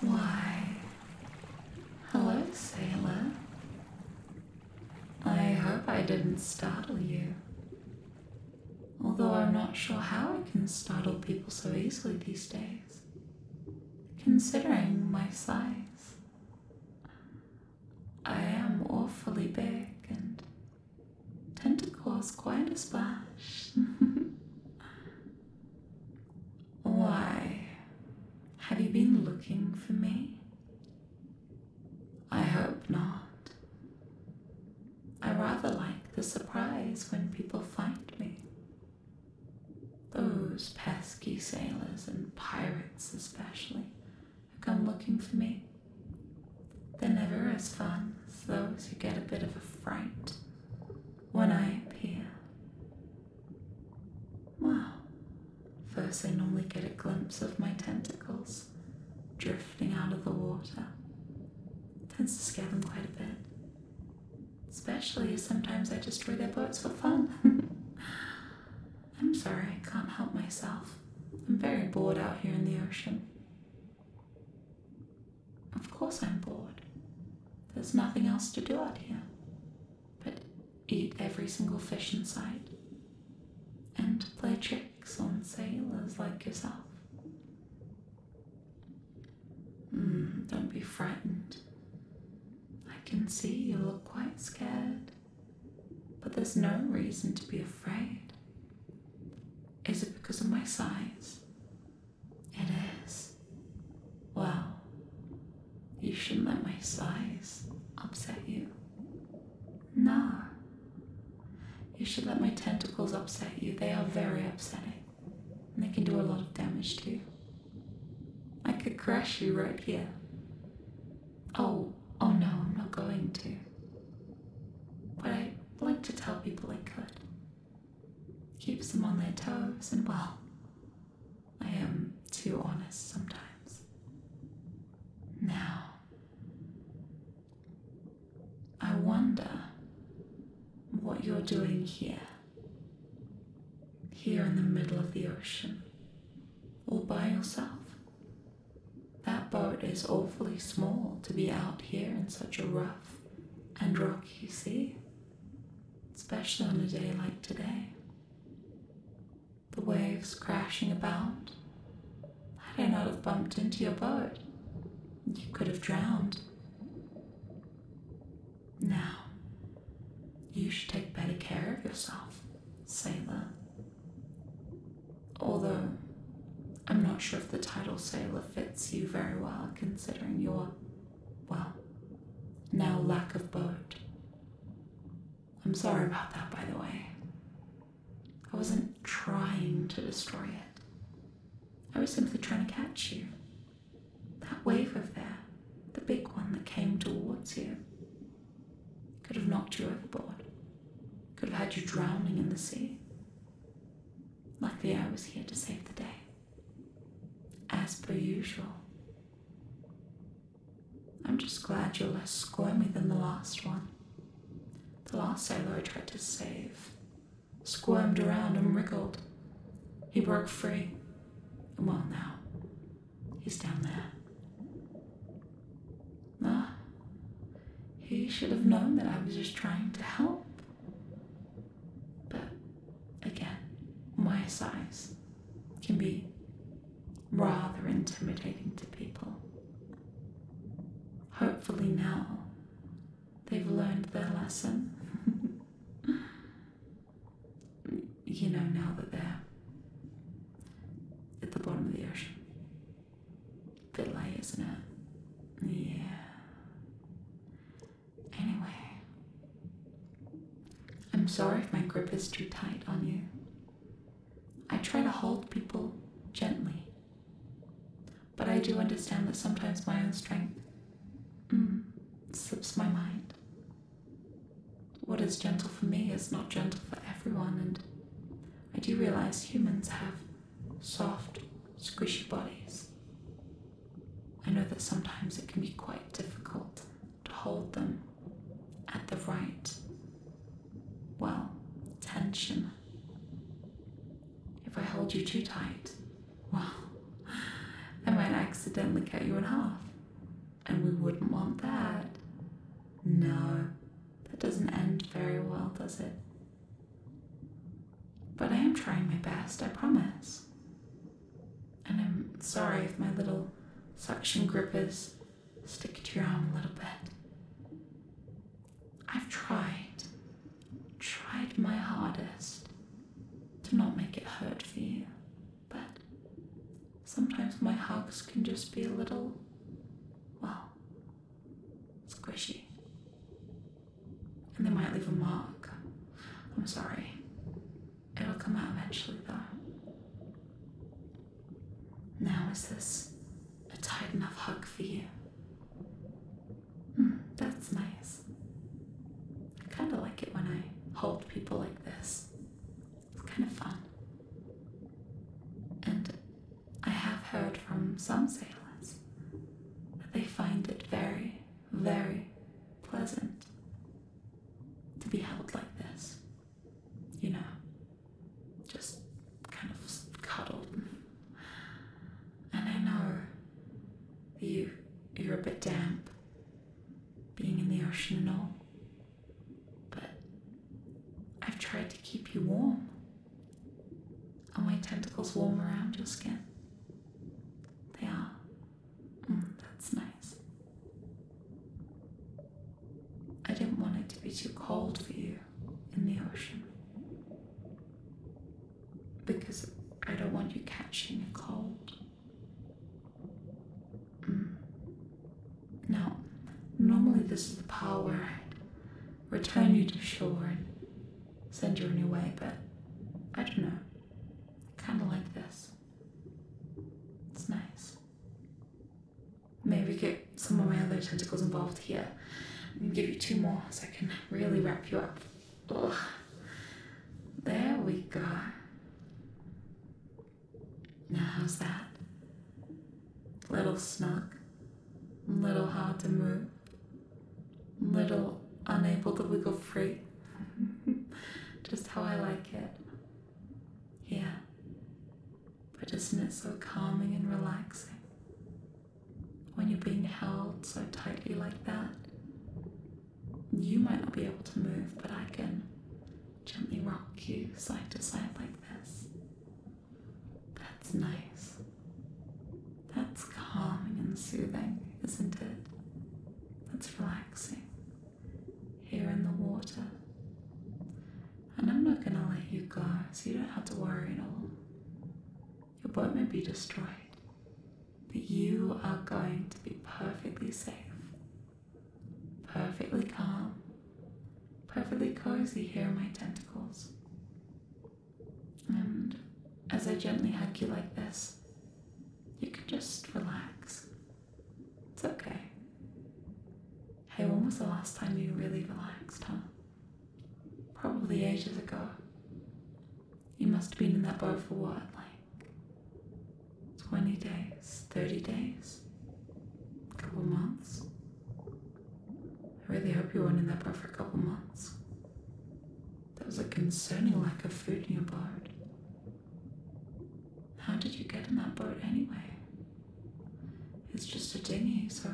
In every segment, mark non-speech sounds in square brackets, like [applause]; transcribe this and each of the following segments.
Why, hello, sailor. I hope I didn't startle you. Although I'm not sure how I can startle people so easily these days, considering my size. I am awfully big and tend to cause quite a splash. [laughs] Why? Have you been looking for me? I hope not. I rather like the surprise when people find me. Those pesky sailors and pirates, especially, who come looking for me. They're never as fun as those who get a bit of a fright when I appear. Wow. First, I normally get a glimpse of my tentacles drifting out of the water. It tends to scare them quite a bit. Especially as sometimes I destroy their boats for fun. [laughs] I'm sorry, I can't help myself. I'm very bored out here in the ocean. Of course I'm bored. There's nothing else to do out here but eat every single fish in sight and play tricks on sailors like yourself. Hmm, don't be frightened. I can see you look quite scared, but there's no reason to be afraid. Is it because of my size? It is. Well, You shouldn't let my size upset you. Nah. You should let my tentacles upset you. They are very upsetting. And they can do a lot of damage to you. I could crush you right here. Oh, oh no, I'm not going to. But I like to tell people I could keeps them on their toes, and well, I am too honest sometimes. Now, I wonder what you're doing here, here in the middle of the ocean, all by yourself. That boat is awfully small to be out here in such a rough, and rocky sea, especially on a day like today. The waves crashing about. Had I not have bumped into your boat, you could have drowned. Now, you should take better care of yourself, sailor. Although I'm not sure if the title sailor fits you very well, considering your, well, now lack of boat. I'm sorry about that, by the way. I wasn't trying to destroy it, I was simply trying to catch you. That wave over there, the big one that came towards you, could have knocked you overboard, could have had you drowning in the sea. Luckily, I was here to save the day. As per usual. I'm just glad you're less squirmy than the last one. The last sailor I tried to save squirmed around and wriggled. He broke free. And well, now, he's down there. Ah, he should have known that I was just trying to help. But Again, my size can be rather intimidating to people. Hopefully, now they've learned their lesson. [laughs] you know, now that they're at the bottom of the ocean. Bit late, isn't it? Yeah. Anyway, I'm sorry if my grip is too tight on you. I try to hold people gently, but I do understand that sometimes my own strength mm, slips my mind. What is gentle for me is not gentle for everyone, and I do realize humans have soft, squishy bodies. I know that sometimes it can be quite difficult to hold them at the right, well, tension. If I hold you too tight, well, I might accidentally cut you in half. And we wouldn't want that. No, that doesn't end very well, does it? But I am trying my best, I promise. And I'm sorry if my little suction grippers stick to your arm a little bit. I've tried, tried my hardest to not make it hurt for you, but sometimes my hugs can just be a little, well, squishy. And they might leave a mark. I'm sorry. It'll come out eventually, though. Now, is this a tight enough hug for you? Mm, that's nice. I kind of like it when I hold people like this. It's kind of fun. And I have heard from some sailors they find it very, very pleasant to be held like this. You know, just kind of cuddled. And I know you you're a bit damp being in the ocean and all. But I've tried to keep you warm are my tentacles warm around your skin? They are. Mm, that's nice. I didn't want it to be too cold for you in the ocean. Because I don't want you catching a cold. Mm. Now, normally this is the power where i return you to shore send you a new way, but I don't know. Kinda like this. It's nice. Maybe get some of my other tentacles involved here. give you two more so I can really wrap you up. Ugh. There we go. Now, how's that? Little snug, little hard to move, little unable to wiggle free. [laughs] just how I like it. Yeah. But isn't it so calming and relaxing? When you're being held so tightly like that, you might not be able to move, but I can gently rock you side to side like this. That's nice. That's calming and soothing, isn't it? That's relaxing. Here in the water. And I'm not gonna let you go, so you don't have to worry at all. Your boat may be destroyed, but you are going to be perfectly safe, perfectly calm, perfectly cozy here in my tentacles. And as I gently hug you like this, you can just relax. It's okay. Hey, when was the last time you really relaxed, huh? Probably ages ago. You must have been in that boat for what, like 20 days, 30 days, a couple months? I really hope you weren't in that boat for a couple months. There was a concerning lack of food in your boat. How did you get in that boat anyway? It's just a dinghy, so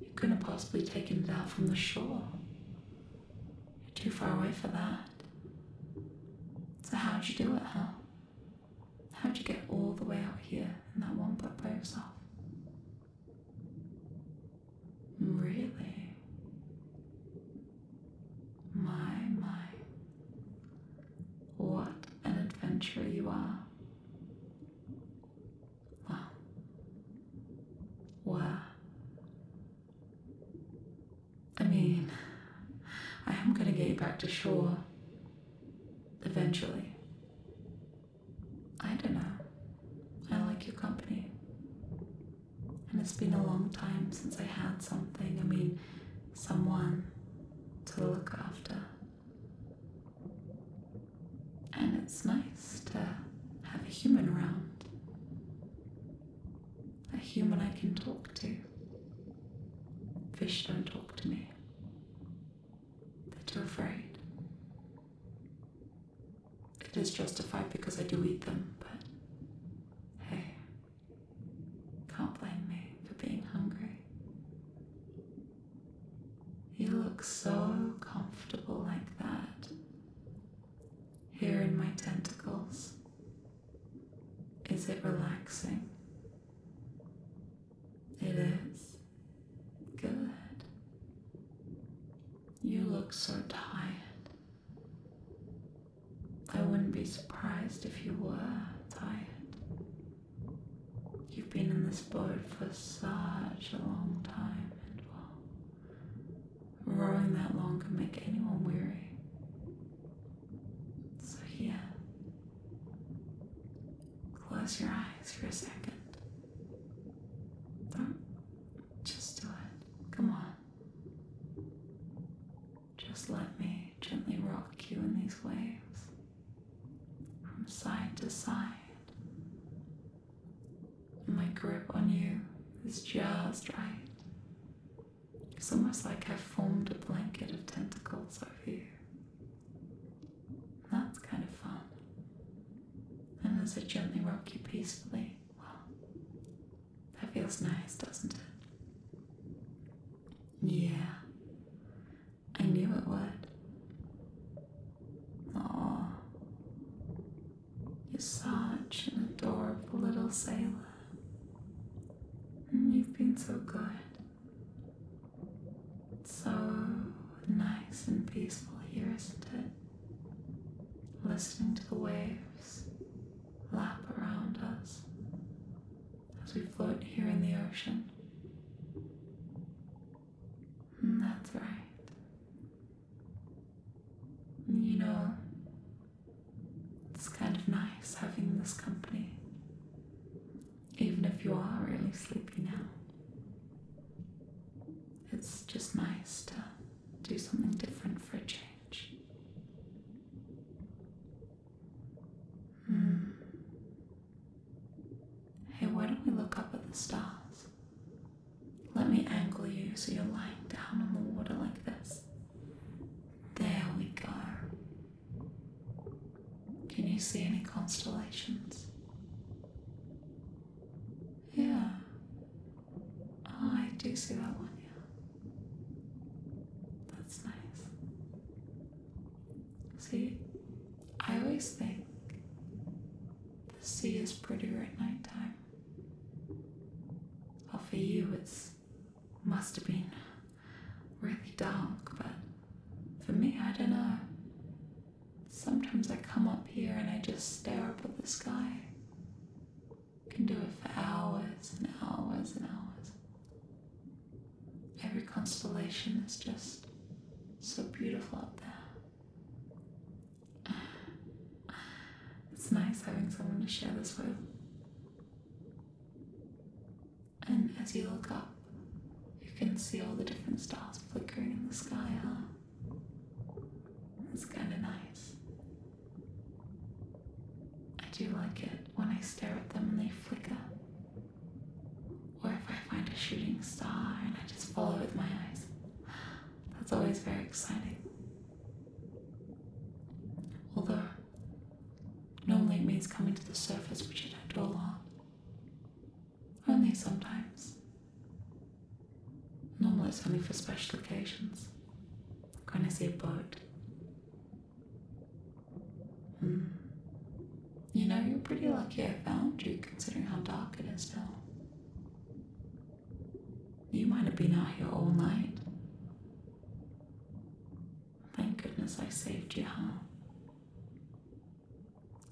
you couldn't have possibly taken it out from the shore. You're too far away for that. So how did you do it, huh? how did you get all the way out here and that one boat by off? Really, my, my, what an adventurer you are. Well, well, I mean, I am going to get you back to shore eventually. I don't know. I like your company. And it's been a long time since I had something, I mean, someone to look after. And it's nice to have a human around, a human I can talk to. Fish don't talk to me, they're too afraid. It is justified because I do eat them, but hey, can't blame me for being hungry. You look so comfortable like that. Here in my tentacles. Is it relaxing? It is. Good. You look so tired. I wouldn't be surprised if you were tired. You've been in this boat for such a long time, and well, rowing that long can make anyone weary. So, yeah, close your eyes for a 2nd just do it. Come on. Just let me gently rock you in these waves from side to side. My grip on you is just right. It's almost like I've formed a blanket of tentacles over you. That's kind of fun and as I gently rock you peacefully, well, that feels nice, doesn't it? Yeah, I knew it would. Aw, you're such an adorable little sailor. and You've been so good. so nice and peaceful here, isn't it? listening to the waves lap around us as we float here in the ocean. Mm, that's right. You know, it's kind of nice having this company, even if you are really sleepy now. It's just nice to do something different for a change. Hmm. Hey, why don't we look up at the stars? Let me angle you so you're lying down on the water like this. There we go. Can you see any constellations? Yeah. Oh, I do see that one, yeah. That's nice. See, I always think the sea is prettier at night time. Well, for you, it's must have been really dark, but for me, I don't know. Sometimes I come up here and I just stare up at the sky. can do it for hours and hours and hours. Every constellation is just so beautiful up there. [sighs] It's nice having someone to share this with. And as you look up, you can see all the different stars flickering in the sky, huh? It's kind of nice. I do like it when I stare at them and they flicker. Or if I find a shooting star and I just follow with my eyes. That's always very exciting. Although, no light means coming to the surface, which it had all on. Only hmm. sometimes. Normally it's only for special occasions. When I see a boat. Hmm. You know, you're pretty lucky I found you considering how dark it is now. You might have been out here all night. Thank goodness I saved you, huh?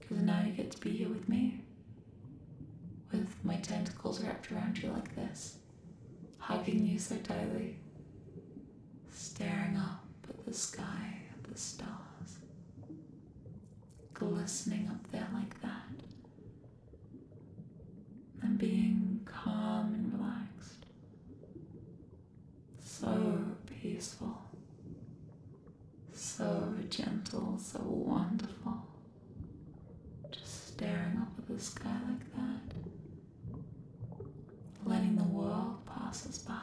Because now you get to be here with me. With my tentacles wrapped around you like this, hugging you so tightly, staring up at the sky, at the stars, glistening up there like that, and being calm and relaxed. So peaceful so gentle, so wonderful. Just staring up at the sky like that, letting the world pass us by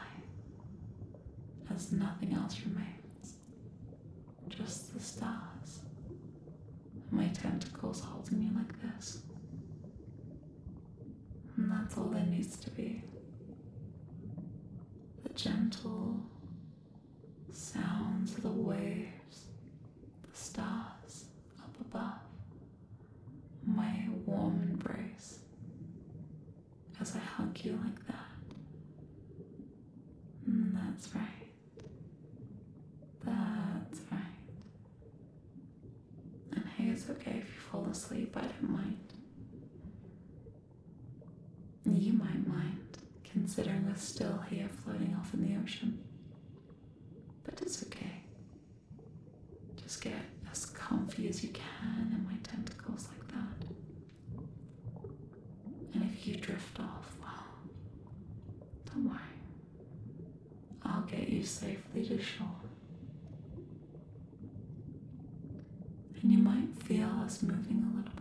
as nothing else remains, just the stars. my tentacles holding me like this. And that's all there needs to be. The gentle, sounds of the waves, the stars up above, my warm embrace as I hug you like that. Mm, that's right. That's right. And hey, it's okay if you fall asleep, I don't mind. You might mind, considering we're still here floating off in the ocean. But it's okay. Just get as comfy as you can in my tentacles like that. And if you drift off, well, don't worry. I'll get you safely to shore. And you might feel us moving a little bit.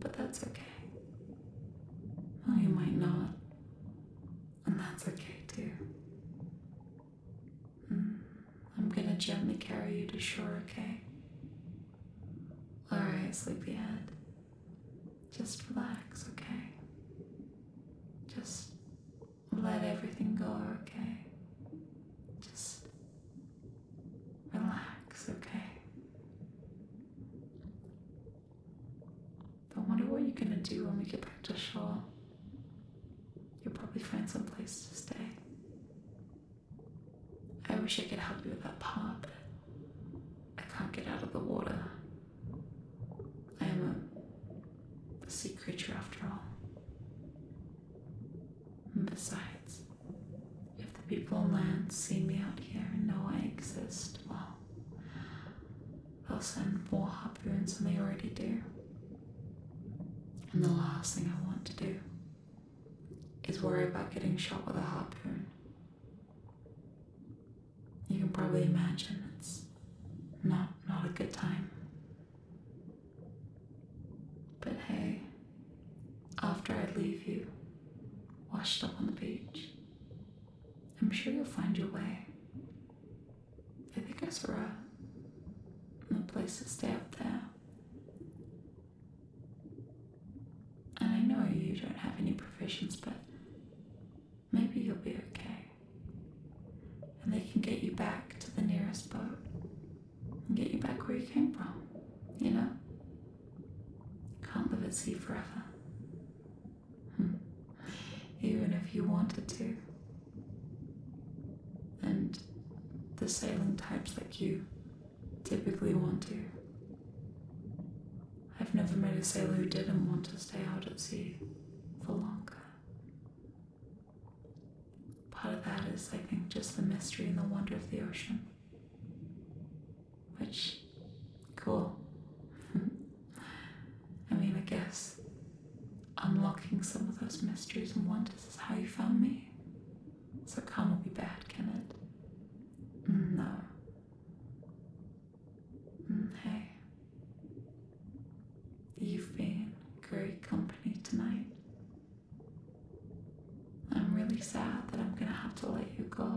But that's okay. Well, you might not. And that's okay too. Hmm. I'm gonna gently carry you to shore, okay? Alright, sleepyhead. Just relax, okay? Just let everything go, okay? Just Relax, okay? I wonder what you're gonna do when we get back to shore. You'll probably find some place to stay. I wish I could help you with that part, I can't get out of the water. I am a sea creature after all besides, if the people land see me out here and know I exist, well, they'll send more harpoons than they already do. And the last thing I want to do is worry about getting shot with a harpoon. You can probably imagine it's not not a good time. But hey, after I leave you, washed up on the beach. I'm sure you'll find your way. I think I saw a, a place to stay up there. And I know you don't have any provisions, but maybe you'll be okay. And they can get you back to the nearest boat and get you back where you came from, you know? Can't live at sea forever. Hmm. Even if you wanted to. And the sailing types like you typically want to. I've never met a sailor who didn't want to stay out at sea for longer. Part of that is, I think, just the mystery and the wonder of the ocean. Which, cool. [laughs] I mean, I guess unlocking some of those mysteries and wonders is how you found me. So calm will be bad, can it? Mm, no. Mm, hey. You've been great company tonight. I'm really sad that I'm gonna have to let you go.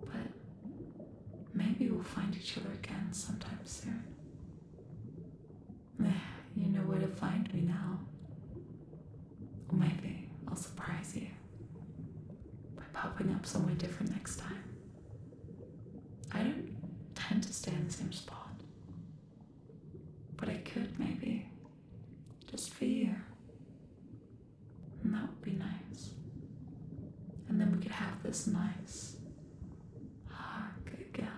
But maybe we'll find each other again sometime soon. You know where to find me now. Or maybe I'll surprise you by popping up somewhere different next time. I don't tend to stay in the same spot, but I could maybe just for you. And that would be nice. And then we could have this nice hug again.